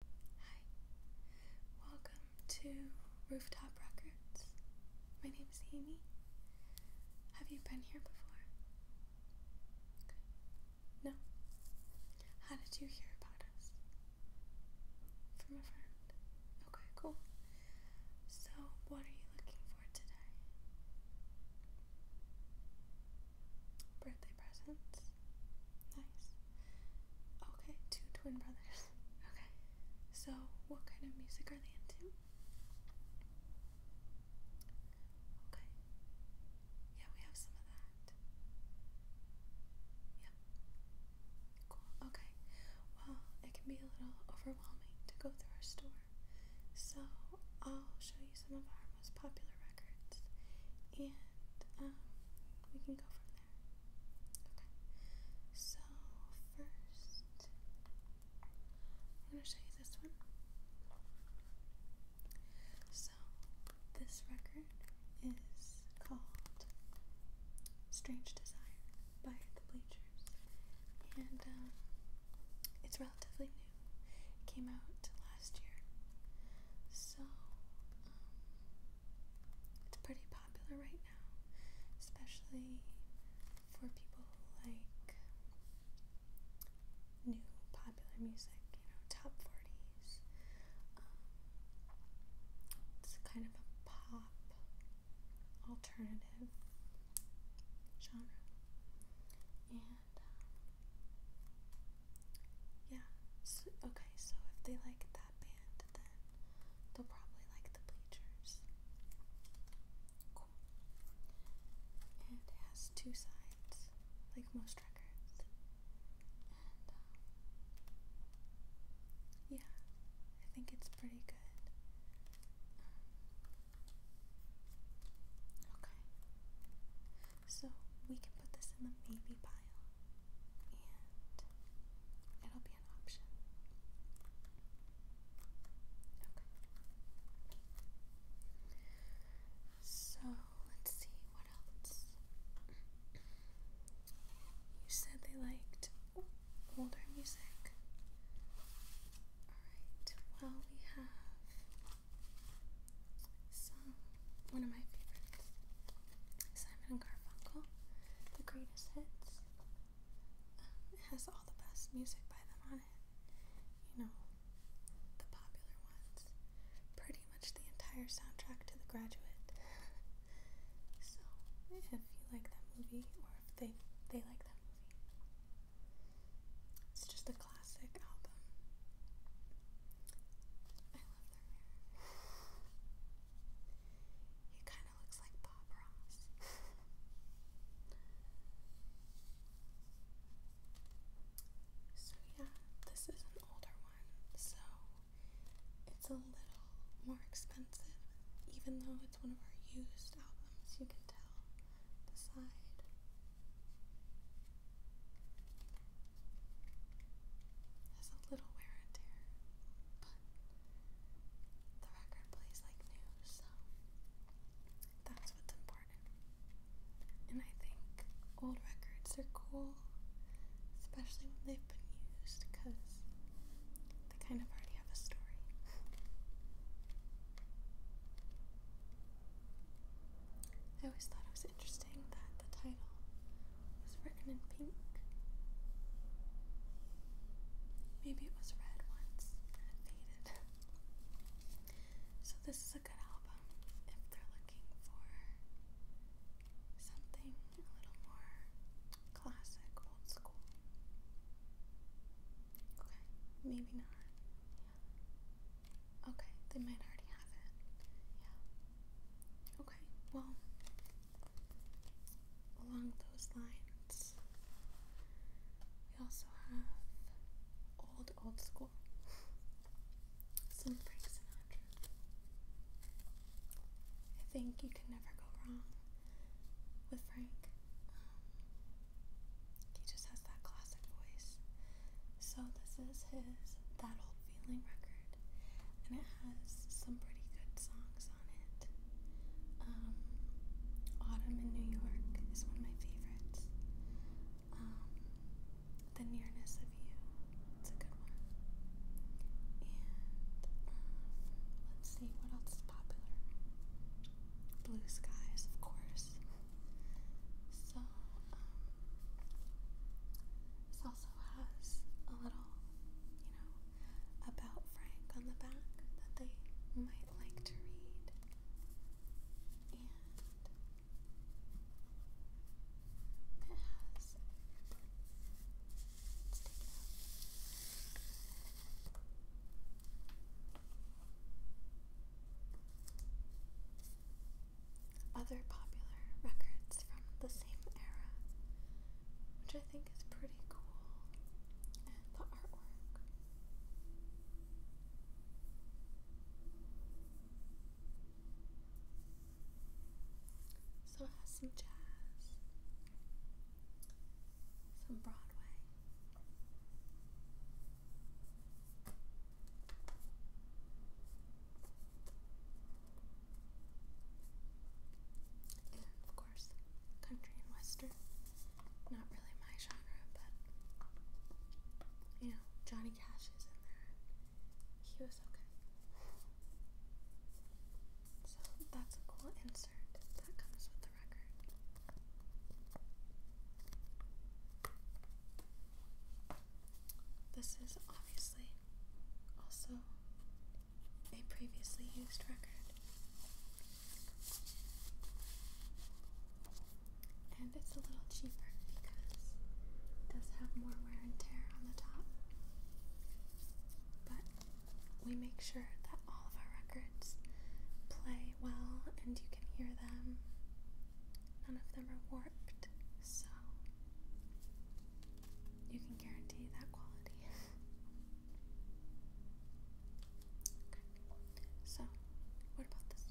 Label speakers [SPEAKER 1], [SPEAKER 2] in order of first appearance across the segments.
[SPEAKER 1] Hi, welcome to Rooftop Records. My name is Amy. Have you been here before? No? How did you hear about us? From a friend. Okay, cool. So, what are you looking for today? Birthday presents. Nice. Okay, two twin brothers. Okay. So, what kind of music are they into? Okay. Yeah, we have some of that. Yep. Cool. Okay. Well, it can be a little overwhelming to go through our store. So, I'll show you some of our most popular records and um, we can go from there. Okay. So first, I'm um, gonna show you this one. So this record is called "Strange Desire" by The Bleachers, and it's relatively new. It came out last year. So it's pretty popular right now, especially for people who like new popular music, you know, top 40s. Um, it's kind of a pop alternative genre. And, um, yeah, okay, so if they like that band, then they'll probably like the bleachers. Cool. it has two sides, like most records. Um, yeah, I think it's pretty good. Um, okay. So we can put this in the baby pile it'll be an option. Okay. So let's see what else. You said they liked older music. Alright, well, we have some one of my favorites Simon and Garfunkel, The Greatest Hits. Um, it has all the best music by them on it. You know, the popular ones. Pretty much the entire soundtrack to The Graduate. so, if you like that movie, or if they, they like that movie, it's just a classic album. I love he kind of looks like Bob Ross. so, yeah, this is an older one, so it's a little more expensive, even though it's one of our used albums. You can tell the side. There's a little wear and tear, but the record plays like new, so that's what's important. And I think old records are cool, especially when they've been used, because they kind of already have a story. I always thought it was interesting that the title was written in pink. Maybe it was red once and it faded. So, this is a good album if they're looking for something a little more classic, old school. Okay, maybe not. Okay, they might already have it. Yeah. Okay, well, along those lines, we also have old, old school. Some Frank Sinatra. I think you can never go wrong with Frank. Um, he just has that classic voice. So, this is his That Old feeling record, and it has some pretty good songs on it. Um, Autumn in New York is one of my favorites. Um, the Nearness of You, it's a good one. And um, let's see what else is popular. Blue Skies, of course. So, so also has a little, you know, about Frank on the back that they might like to read. And it has. Let's take it out other popular records from the same era, which I think is pretty cool, and the artwork. So it has some jazz, some Broadway of course, country and western. Not really my genre, but you know, Johnny Cash is in there. He was okay. So that's a cool insert that comes with the record. This is obviously also a previously used record. And it's a little cheaper because it does have more wear and tear on the top. But we make sure that all of our records play well and you can hear them. None of them are warped, so you can guarantee that quality. okay. So, what about this?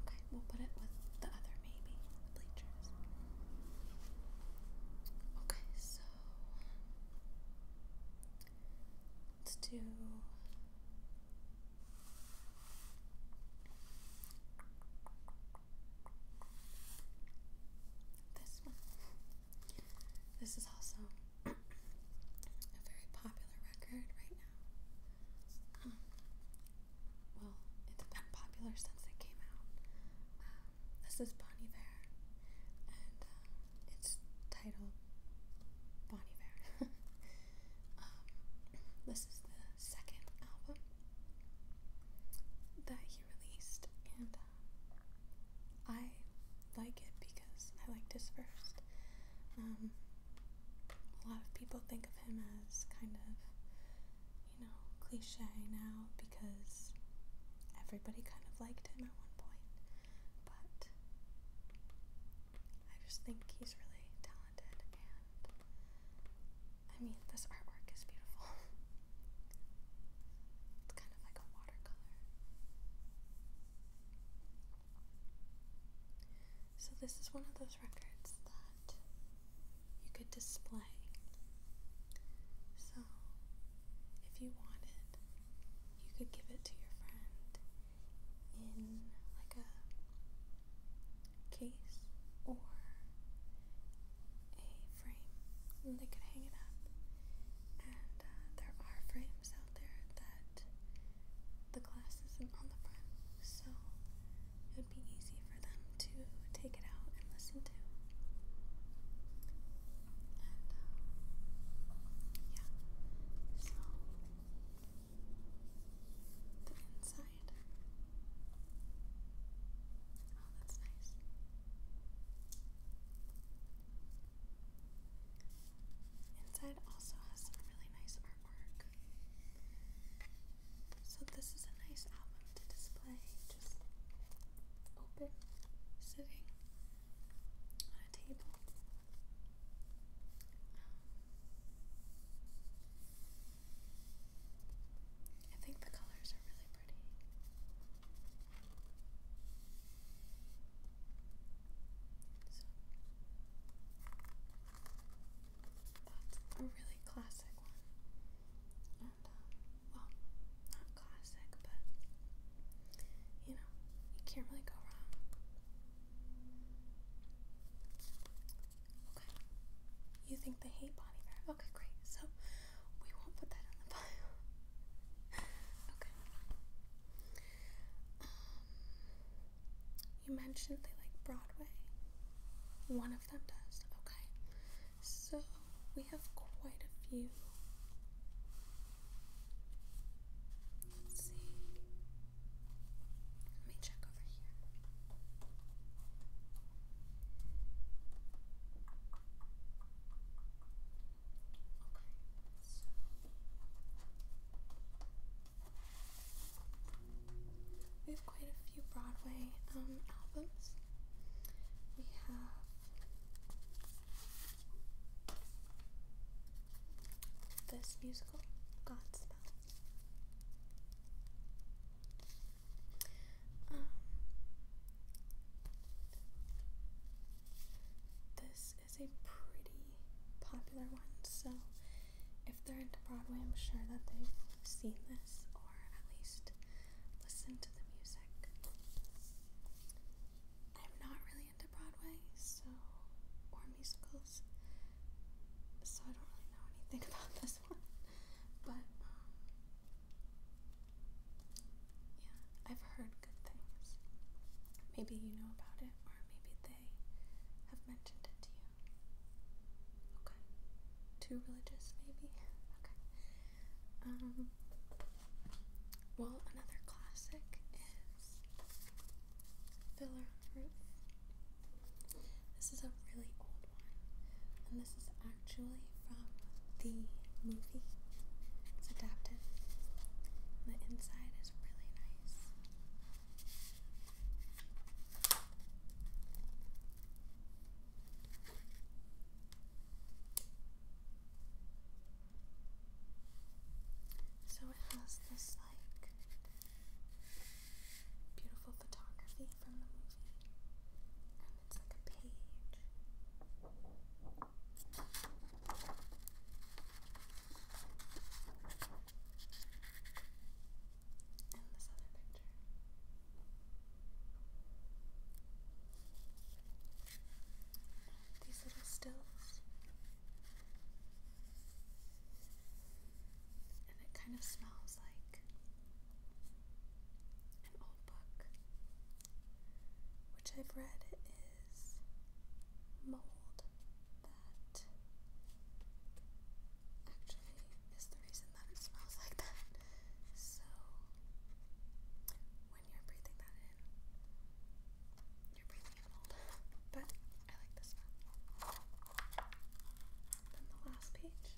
[SPEAKER 1] Okay, we'll put it with the other maybe, bleachers. Okay, so let's do this one. This is also a very popular record right now. Um, well, it's been popular since it came out. Um, this is Bon Iver, and um, it's titled Bon Iver. this is the second album that he released, and uh, I like it because I liked his first. Um, a lot of people think of him as kind of, you know, cliche now because everybody kind of liked him at one point, but I just think he's really talented and I mean, this artwork is beautiful. it's kind of like a watercolor. So, this is one of those records that you could display. So, if you wanted, you could give it to your friend in like a case or a frame and they could hang it up. And uh, there are frames out there that the glass isn't on the front, so it would be easy for them to take it out and listen to. And uh, yeah, so the inside Oh, that's nice. Inside also has some really nice artwork. So, this is a nice album to display. Just open, sitting on a table. I think the colors are really pretty. that's a really classic one. Um, well, not classic, but you know, you can't really go wrong. Okay. You think they hate Bonnie Bear? Okay, great. So we won't put that in the bio. okay. Um, you mentioned they like Broadway. One of them does. Okay. So we have quite a few. Let's see. Let me check over here we have quite a few Broadway um, albums. We have this musical, Godspell. Um, this is a pretty popular one, so if they're into Broadway, I'm sure that they've seen this or at least listened to the music. I'm not really into Broadway, so or musicals, so I don't really know anything about this one. But um, yeah, I've heard good things. Maybe you know about it, or maybe they have mentioned it to you. Okay. Too religious, maybe? Okay. Um, well, another classic is Fiddler on the Roof. This is a really old one, and this is actually from the movie. It's adapted. the inside is really nice. So it has this like beautiful photography from the movie. And it's like a page. And this other picture. these little stills. And it kind of smells like an old book which I've read is mold that actually is the reason that it smells like that. So when you're breathing that in, you're breathing mold. But I like this one. Then the last page.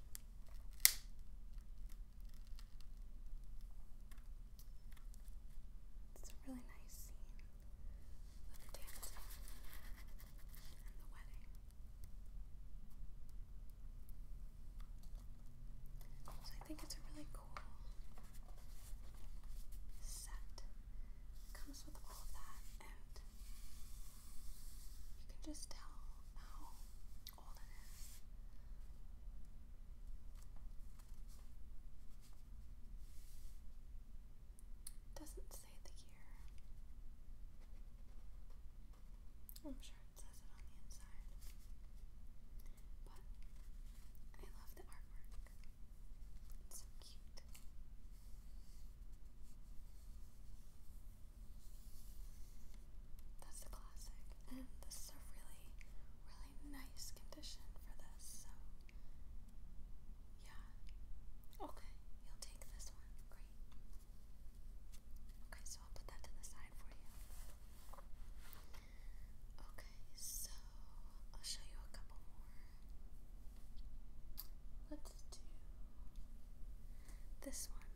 [SPEAKER 1] It's a really nice scene the dancing and the wedding. So I think it's a really cool set. comes with all of that and you can just tell how is. It doesn't say the year. I'm sure it says it on the inside. But I love the artwork. It's so cute. That's the classic. And this is a really, really nice condition for this, so yeah. Okay, you'll take this one. Great. Okay, so I'll put that to the side for you. Okay, so I'll show you a couple more. Let's do this one.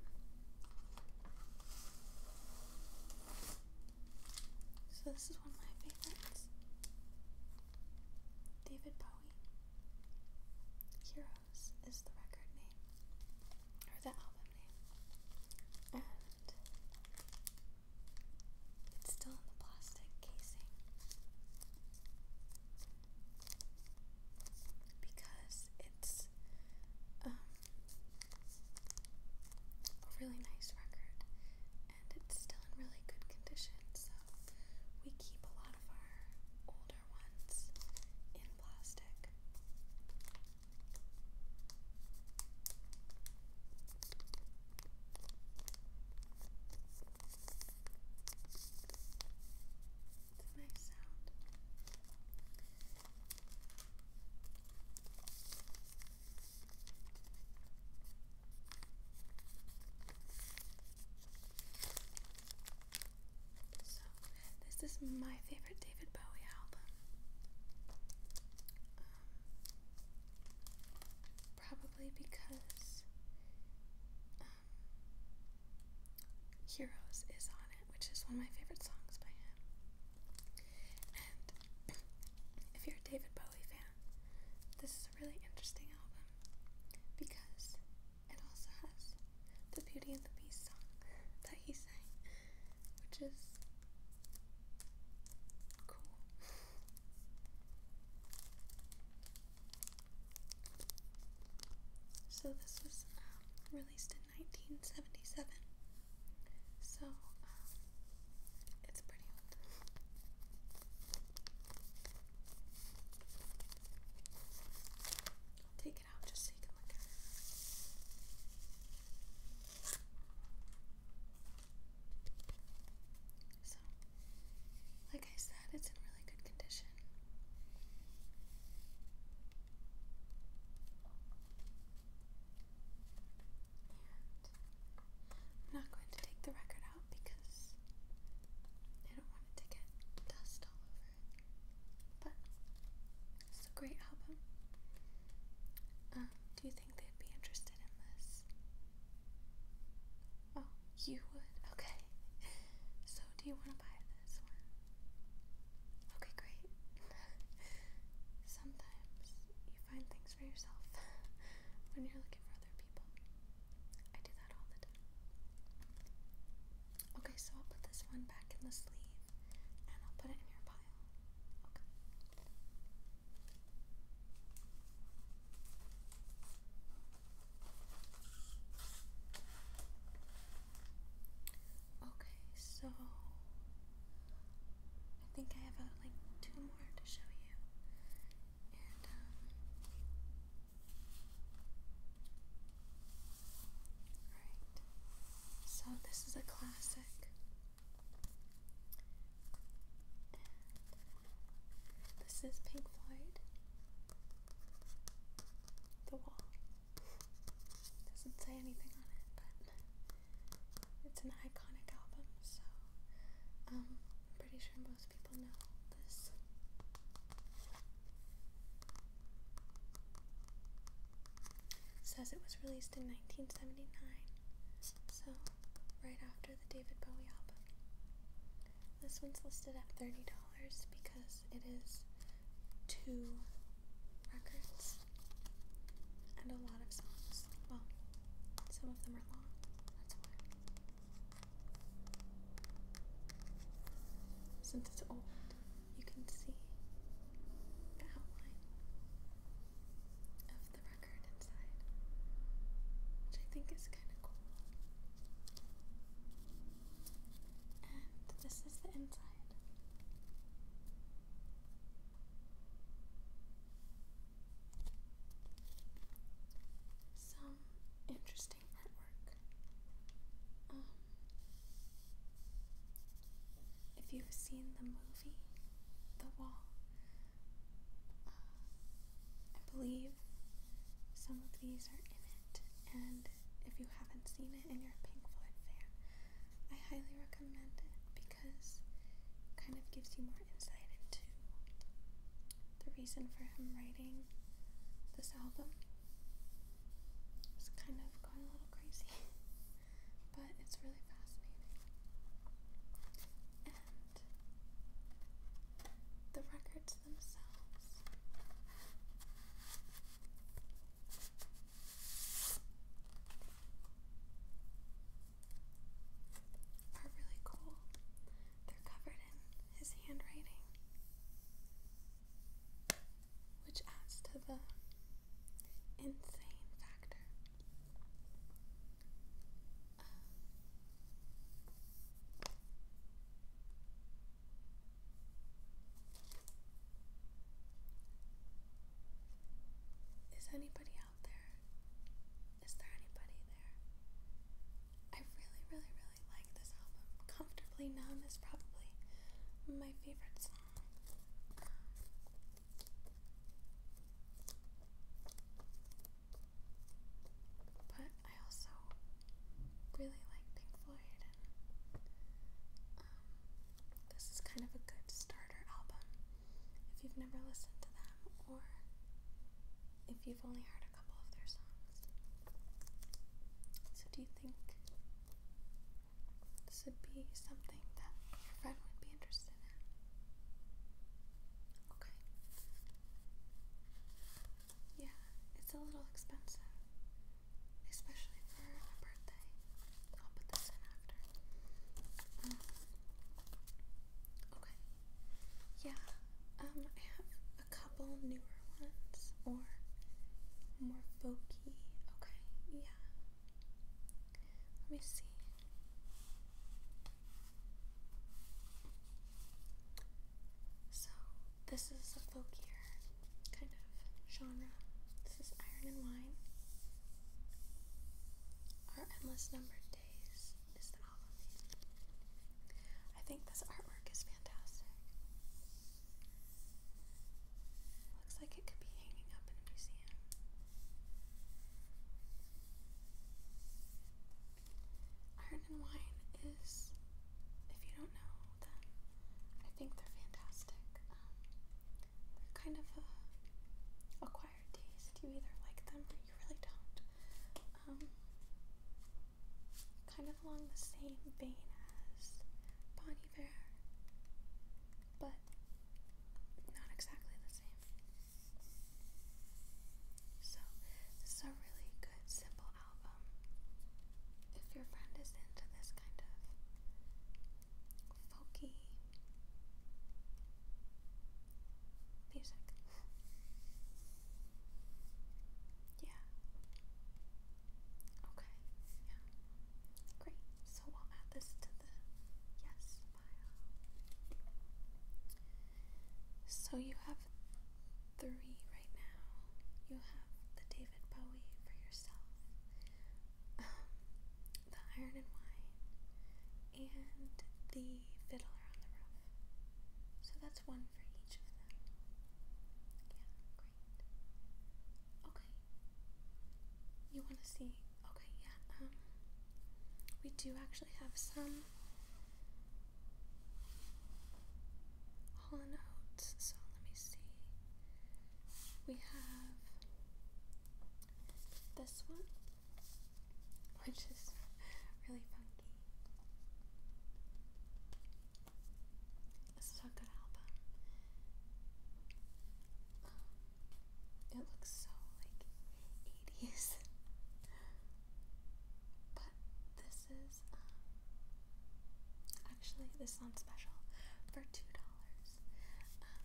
[SPEAKER 1] So, this is one of my favorites David Bowie. Heroes is the record name, or the album name. And it's still in the plastic casing. Because it's um, a really nice record, and it's still in really good condition. So we keep a lot of our older ones in plastic. nice sound. So, this is my favorite David Bowie album. Um, probably because um, Heroes is on it which is one of my favorite songs by him. And if you're a David Bowie fan, this is a really interesting album because it also has the Beauty and the Beast song that he sang, which is cool. So this was um, released in 1977. So, um, it's pretty old. take it out just so you can look at it. So, like I said, it's in really good condition. I'm not going to take the record out because I don't want it to get dust all over But it's a great album. Um, do you think they'd be interested in this? Oh, you would? Okay. So, do you want to buy this one? Okay, great. Sometimes you find things for yourself when you're looking for other people. I do that all the time. Okay, so I'll put this one back in the sleeve and I'll put it in your pile. Okay. Okay, so I think I have uh, like two more to show you. And um, So this is a classic. this is Pink Floyd. The Wall. Doesn't say anything on it, but it's an iconic album, so um, I'm pretty sure most people know this. says it was released in 1979, so right after the David Bowie album. This one's listed at $30 because it is two records and a lot of songs. Well, some of them are long, that's why. Since it's old, you can see the outline of the record inside, which I think is kind of cool. And this is the inside. Some interesting artwork. Um, if you've seen the movie The Wall, uh, I believe some of these are in it, and if you haven't seen it and you Pink Floyd fan, I highly recommend it because it kind of gives you more insight into the reason for him writing this album. It's kind of gone a little crazy, but it's really fascinating. And the records themselves are really cool. They're covered in his handwriting, which adds to the insane factor. Um, is anybody out there? Is there anybody there? I really, really, really like this album. Comfortably Numb is probably my favorite song. But I also really like Pink Floyd um, this is kind of a good starter album if you've never listened to them or if you've only heard a couple of their songs. So, do you think this would be something that your friend would be interested in? Okay. Yeah, it's a little expensive, especially for a birthday. I'll put this in after. Oh. okay. Yeah. Um, I have a couple newer ones or more folky. Okay. Yeah. Let me see. So this is a folkier kind genre. This is Iron and Wine. Our Endless Numbered Days is the album name. I think this artwork is fantastic. Looks like it could be hanging up in a museum. Iron and Wine is, if you don't know them, I think they're fantastic. Um, kind of a uh, acquired taste. You either like them or you really don't. Um, kind of along the same vein as Bon Iver, but not exactly the same. So this is a really good simple album. If your friend is into this kind of folky music. yeah. Okay. Yeah. Great. So we'll add this to the yes So you have three right now. You have the David Bowie for yourself. The Iron and Wine, and The Fiddler on the Roof. So that's one for each of them. Yeah, great. Okay. You want to see? Okay, yeah. Um, we do actually have some Hall So let me see. We have this one, which is really funky. This is a good album. it looks so like 80s. but this is um, actually this sounds special for two dollars. Um,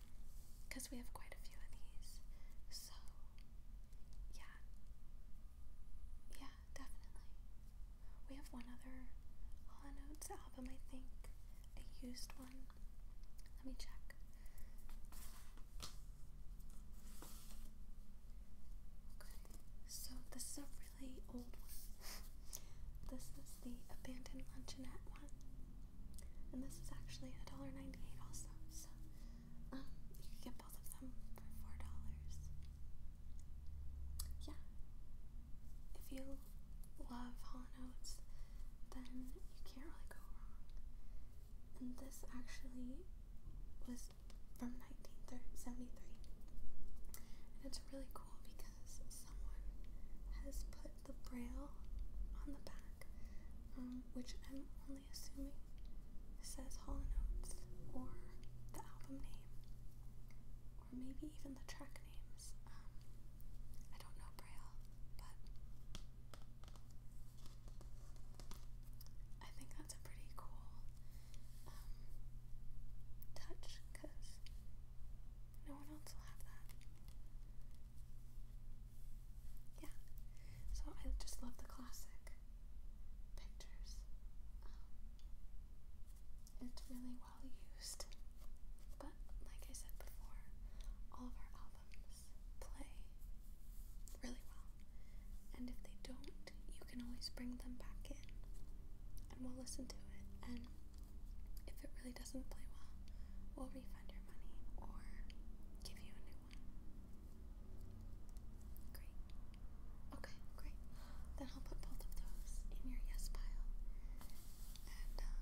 [SPEAKER 1] because we have quite a few of these. So, yeah. Yeah, definitely. We have one other Hollow Notes album, I think. A used one. Let me check. Okay, so this is a really old one. this is the Abandoned Luncheonette one. And this is actually $1.98 also, so um, you can get both of them for $4. Yeah. If you love Hall & Oates, then you can't really go wrong. And this actually was from 1973. And it's really cool because someone has put the braille on the back, um, which I'm only assuming says Hall & or the album name, or maybe even the track names. Um, I don't know braille, but I think that's a pretty cool um, touch because no one else will have that yeah, so I just love the classic pictures. Um, it's really well used, but like I said before, all of our albums play really well, and if they don't, you can always bring them back in and we'll listen to it and if it really doesn't play well, we'll refund your money or give you a new one. Great. Okay, great. Then I'll put both of those in your yes pile. And, um,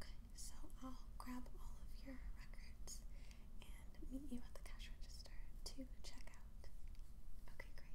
[SPEAKER 1] okay, so I'll grab all of your records and meet you at the cash register to check out. Okay, great.